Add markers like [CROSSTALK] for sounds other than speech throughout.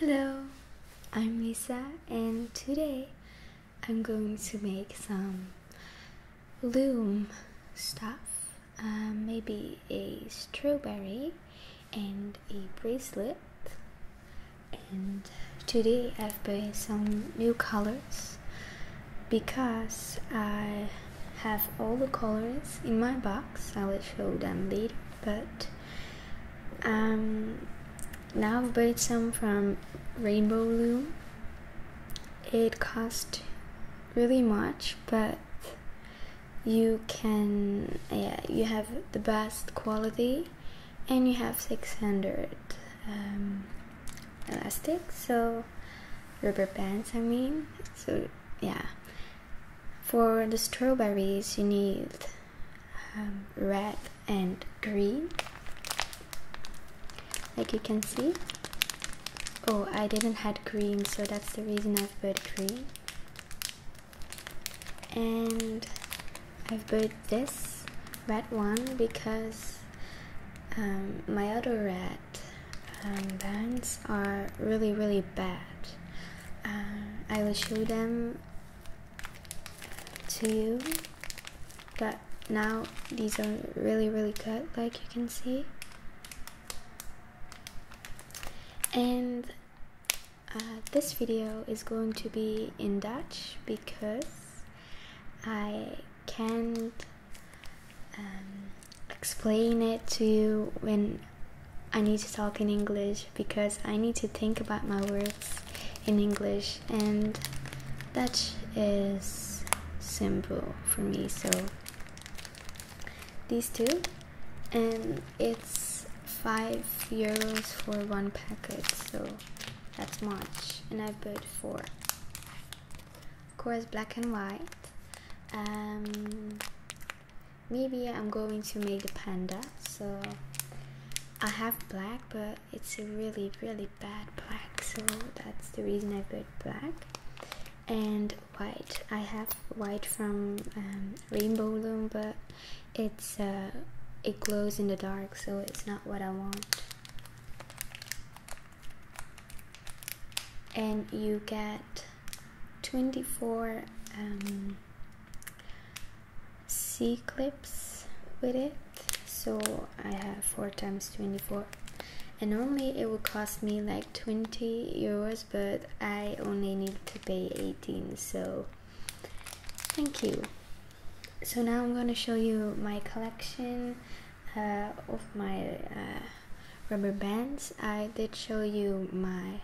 Hello, I'm Lisa, and today I'm going to make some loom stuff, uh, maybe a strawberry and a bracelet. And today I've bought some new colors because I have all the colors in my box. I will show them later, but um, now I bought some from Rainbow Loom. It cost really much, but you can yeah you have the best quality and you have 600 um, elastic so rubber bands i mean so yeah for the strawberries you need um, red and green like you can see oh i didn't had green so that's the reason i've put green and i've bought this red one because um, my other red and um, bands are really, really bad. Uh, I will show them to you, but now these are really, really good, like you can see. And uh, this video is going to be in Dutch because I can't um, explain it to you when I need to talk in English because I need to think about my words in English, and Dutch is simple for me. So these two, and it's five euros for one packet, so that's much, and I bought four of course black and white um, maybe I'm going to make a panda so I have black but it's a really really bad black so that's the reason I put black and white I have white from um, Rainbow Loom but it's uh, it glows in the dark so it's not what I want and you get 24 C um, clips with it so I have 4 times 24 and normally it would cost me like 20 euros but I only need to pay 18 so thank you so now I'm gonna show you my collection uh, of my uh, rubber bands. I did show you my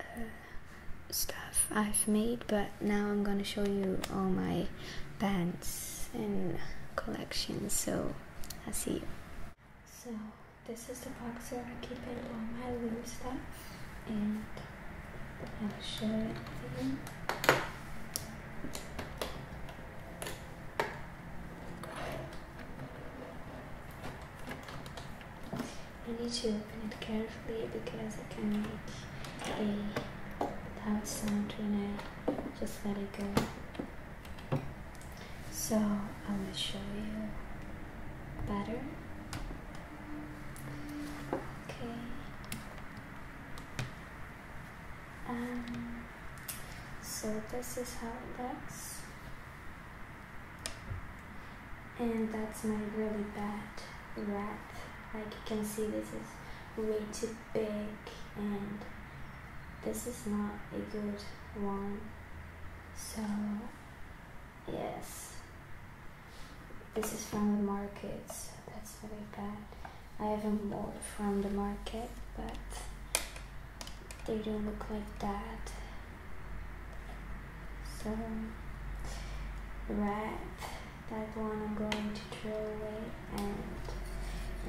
uh, stuff I've made, but now I'm gonna show you all my bands and collections. So i see you. So this is the box where I keep all my loom stuff, and I'll show it to you. I need to open it carefully because it can make a loud sound when I just let it go. So i will show you better. Okay. Um, so this is how it looks. And that's my really bad wrap. Like you can see this is way too big and this is not a good one. So yes, this is from the market, so that's very bad. I haven't bought from the market, but they do not look like that. So, right, that one I'm going to throw away and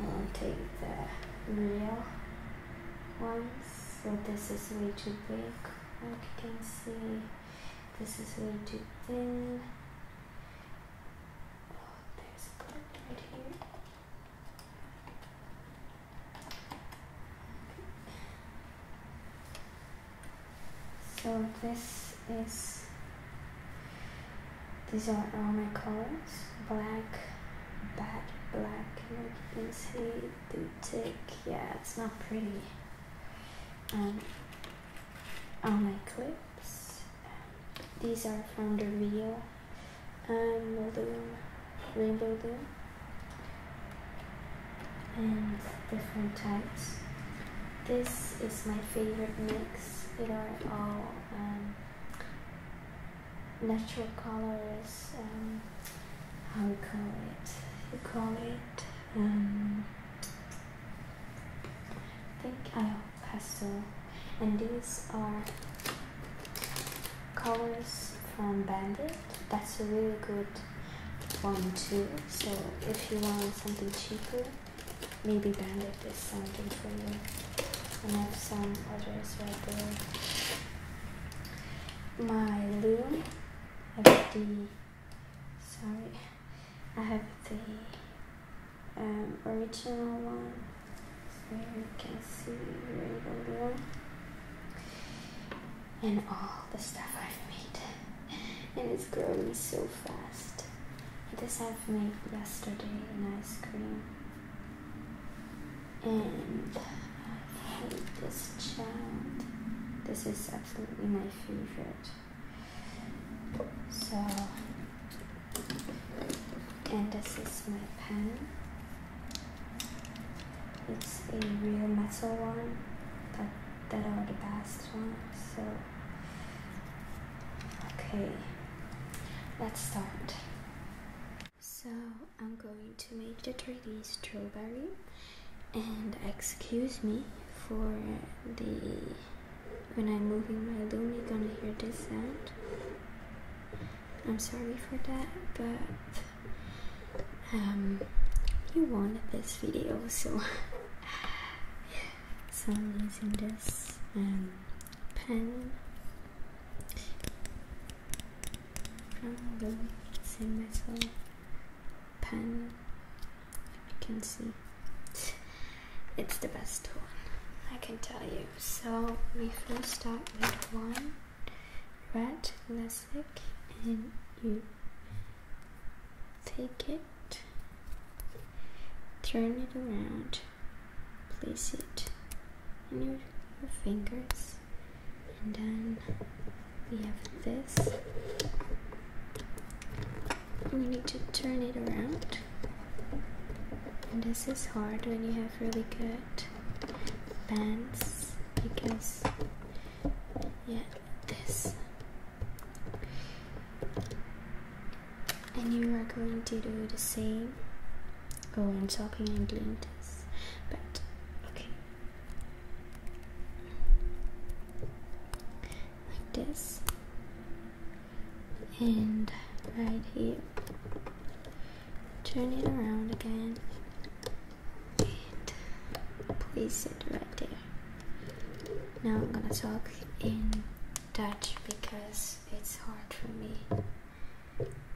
I'll take the real ones. So this is way too big, like you can see. This is way too thin. Oh, there's a clip right here. So this is, these are all my colors, black, bad black, like you see the tick, yeah, it's not pretty. And um, all my clips, these are from the real um, loom, rainbow loom, and different types. This is my favorite mix. It are all um, natural colors. Um, how we call it? You call it. Um, think I pastel and these are colors from Bandit that's a really good one too so if you want something cheaper maybe Bandit is something for you and I have some others right there my loom I have the sorry I have the um, original one where you can see rainbow blue and all the stuff I've made and it's growing so fast this I've made yesterday an ice cream and I hate this child this is absolutely my favorite so and this is my pen it's a real metal one that, that are the best ones so okay let's start so I'm going to make the 3 strawberry and excuse me for the when I'm moving my loom you're gonna hear this sound I'm sorry for that, but um, you wanted this video, [LAUGHS] so I'm using this um, pen from the pen. you can see, it's the best one. I can tell you so we first start with one red classic and you take it, turn it around, place it in your, your fingers, and then we have this. We need to turn it around. And this is hard when you have really good good because yeah this and you are going to do the same oh I'm talking and doing this but okay like this and right here turn it around again and place it right there. Now I'm gonna talk in Dutch because it's hard for me.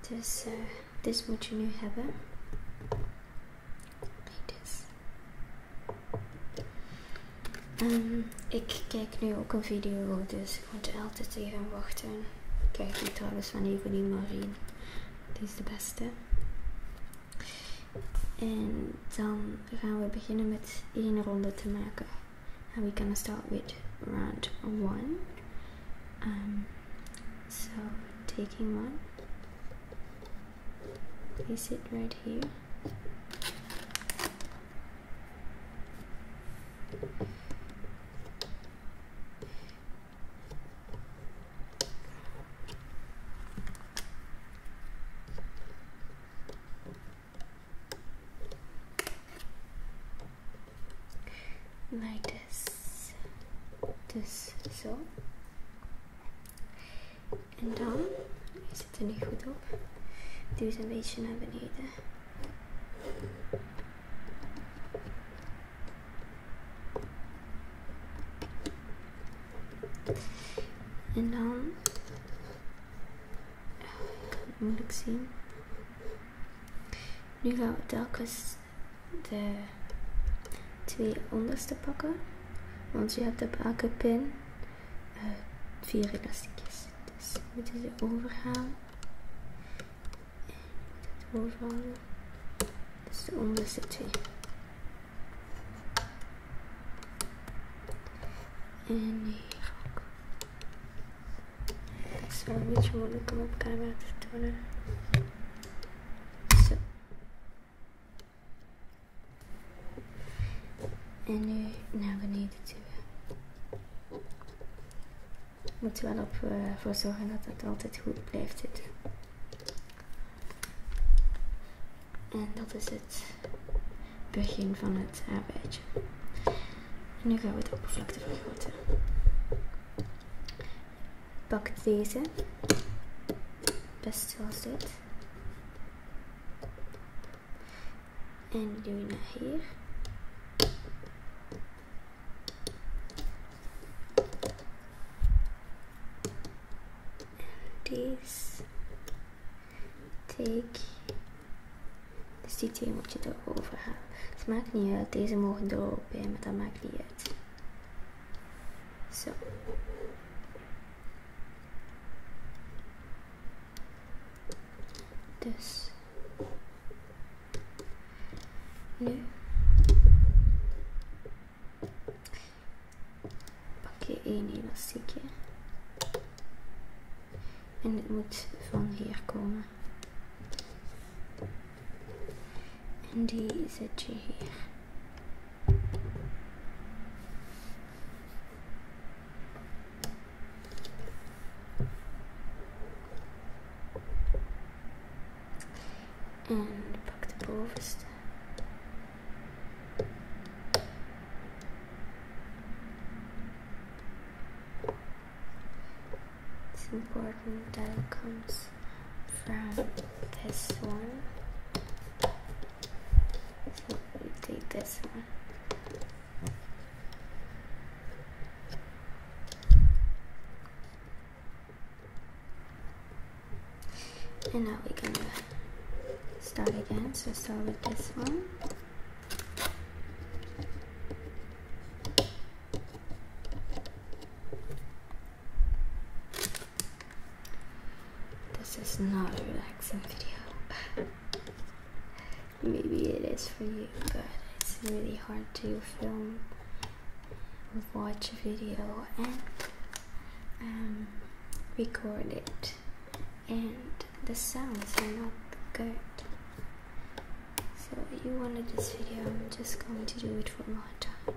This uh, dit moet je nu hebben. ik kijk nu ook een video, Dus ik moet altijd even wachten. Kijk die trouwens van die marine. Die is de beste. En dan gaan we beginnen met één ronde te maken. And we can start with round one. Um, so taking one, place it right here dus zo en dan zit er niet goed op duwt een beetje naar beneden en dan... Eh, ik moeilijk zien. Nu gaan we telkens de twee onderste pakken. Want je hebt de elke pin eh, vier elastiekjes. Dus we moeten ze overhalen en bovenhalen. Dat is de onderste twee. En hier ook. Het is wel een beetje moeilijk om op camera te tonen. En nu naar beneden moet je wel op, eh, voor zorgen dat het altijd goed blijft zitten. En dat is het begin van het arbeidje. En nu gaan we de oppervlakte vergroten. Pak deze, best zoals dit. En die doe je naar hier. This. Take. Dus die twee moet je erover halen. Het maakt niet uit. Deze mogen er ook maar dat maakt niet uit. Zo. Dus. Nu pak je één elastiekje. En het moet van hier komen. En die zet je hier. and the Povest. It's important that it comes from this one. So we take this one. And now we're gonna start again. So start with this one. This is not a relaxing video. Maybe it is for you, but it's really hard to film watch a video and um, record it and the sounds are not good so you wanted this video I'm just going to do it for one time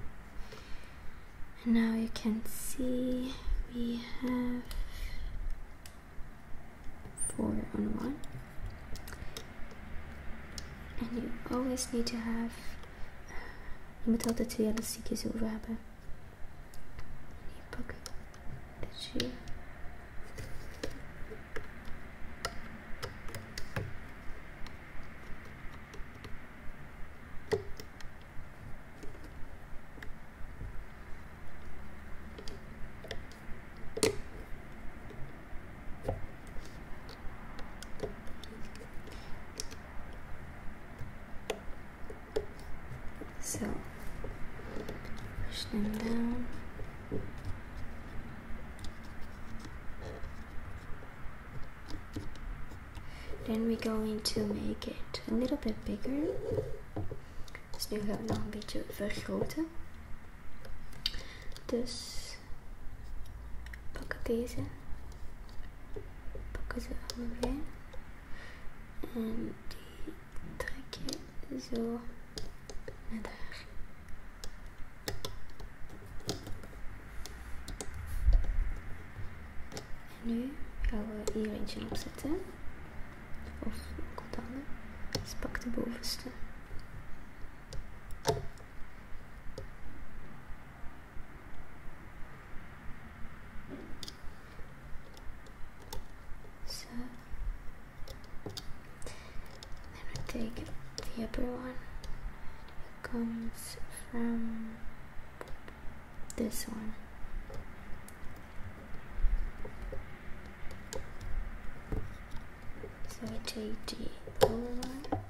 and now you can see we have four on one and you always need to have المتردد هي السيكيز والرهبة الشيء so push them down. Then we're going to make it a little bit bigger. Dus nu have we nog een beetje vergroten. Dus pak deze. Pakken ze allebei. En die trek je zo naar daar. En nu gaan we hier eentje opzetten. Of ook wat Dus pak de bovenste. So then we take the upper one. It comes from this one. So I take the lower one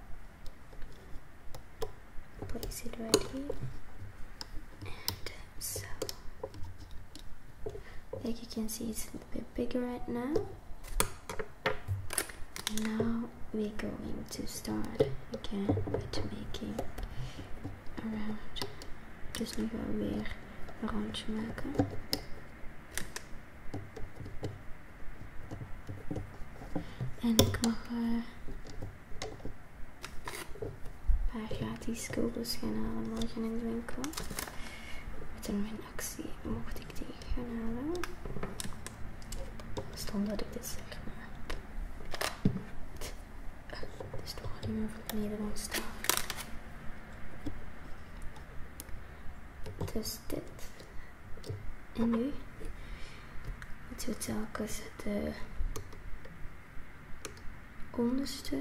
place it right here and um, so like you can see it's a bit bigger right now now we're going to start again with making around dus nu gaan we are weer een rondje maken En ik mag uh, een paar gratis gaan halen morgen in de winkel. Met een actie mocht ik die gaan halen. Stond dat ik dit zeg maar. Het is toch niet meer voor beneden Nederlands Dus gestipt. En nu moeten we telkens de eh, onderste.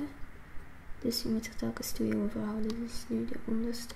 Dus je moet er telkens twee overhouden. Dus nu de onderste.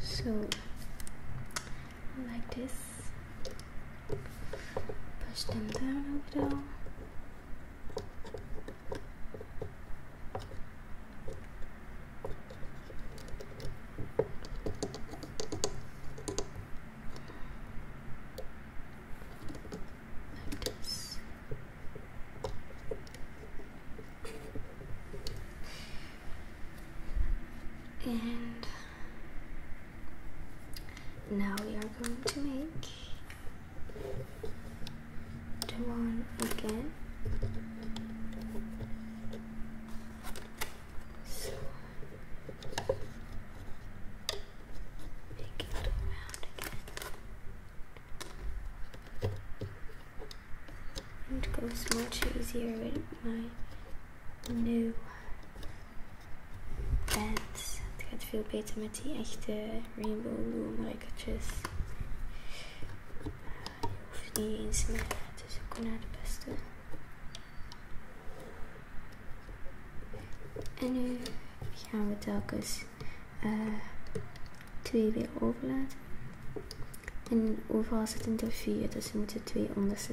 so like this push them down a little like this and now we are going to make the one again. So make it around again. It goes much easier with my new beds. pants. Het gaat veel beter met die echte rainbow blue markertjes. Je hoeft niet eens meer, dus ik kon naar de beste. En nu gaan we telkens uh, Twee weer overlaten. En overal zitten er vier, dus we moeten twee onderste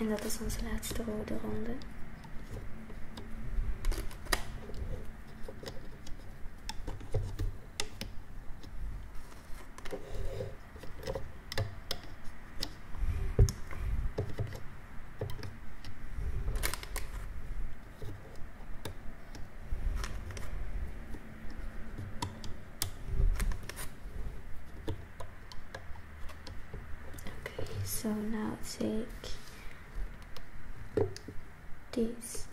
En dat is onze laatste rode ronde. Okay, so now take this.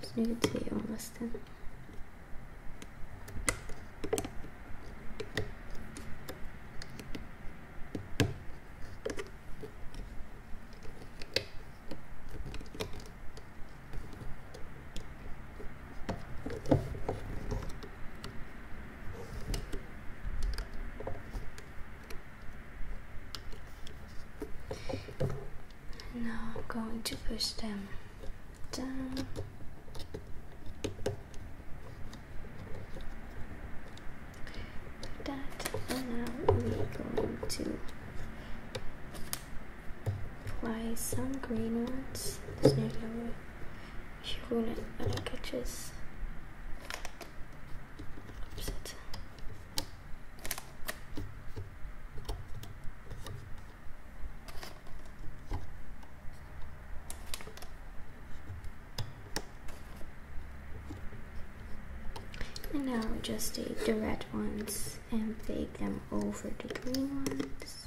Just need to take almost then. Now I'm going to push them down. that, and now we're going to apply some green ones. Hugo'nun öne And now just take the red ones and bake them over the green ones.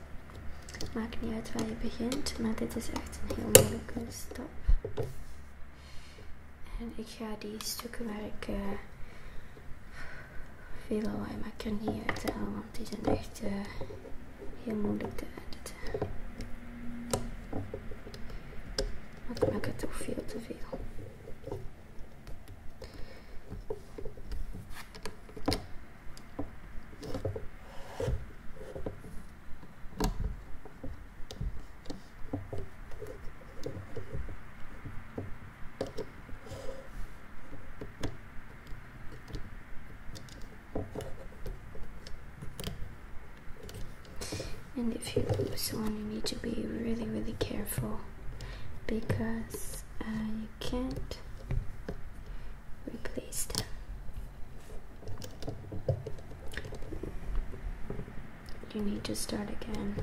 Maakt niet uit waar je begint, maar dit is echt een heel moeilijke stap. En ik ga die stukken waar ik eh, veel veelal kan niet uit halen, want die zijn echt eh, heel moeilijk te editen. Want ik maak het toch veel te veel. And if you lose one, you need to be really, really careful because uh, you can't replace You need to start again.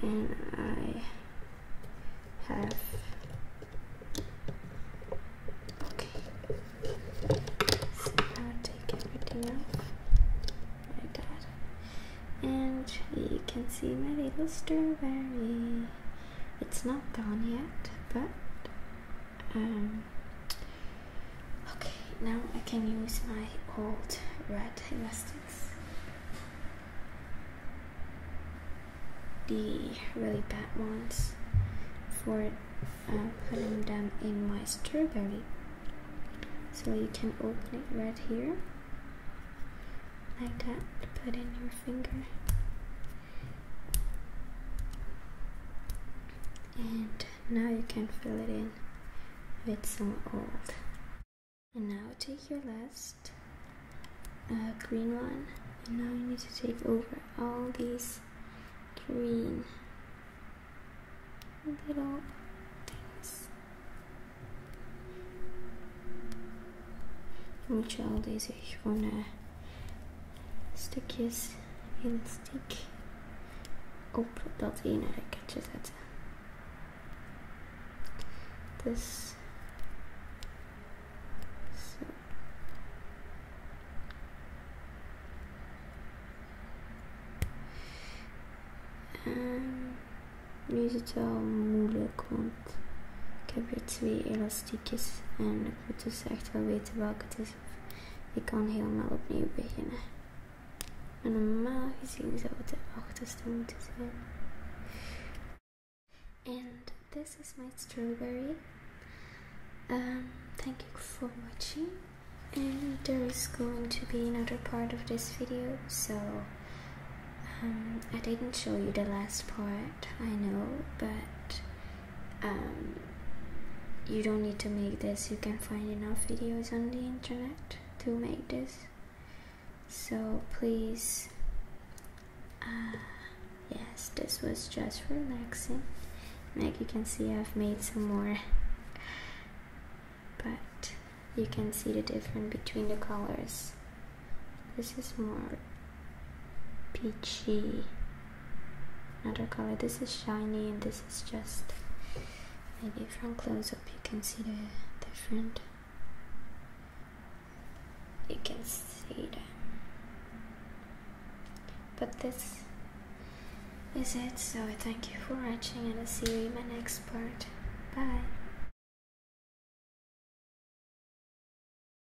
And I have okay. So take everything off like that. And you can see my little strawberry. It's not done yet, but um, okay. Now I can use my old red elastics. The really bad ones for um, putting them in my strawberry. So you can open it right here, like that. Put in your finger and now you can fill it in with some old and now take your last uh, green one and now you need to take over all these green little things which all these you wanna stukjes elastiek op dat ene rekkertje zetten. Dus zo. Ehm, nu is het wel moeilijk, want ik heb hier twee elastieken. stukjes. En ik moet dus echt wel weten welke het is. Ik kan helemaal opnieuw beginnen. En normaal gezien zou het de achterste moeten zijn. And this is my strawberry. Um, thank you for watching. And there is going to be another part of this video, so um, I didn't show you the last part. I know, but um, you don't need to make this. You can find enough videos on the internet to make this. So please, uh, yes, this was just relaxing. Like you can see, I've made some more, but you can see the difference between the colors. This is more peachy, another color. This is shiny and this is just, maybe from close up you can see the different, you can see them. But this is it, so thank you for watching and I'll see you in my next part. Bye!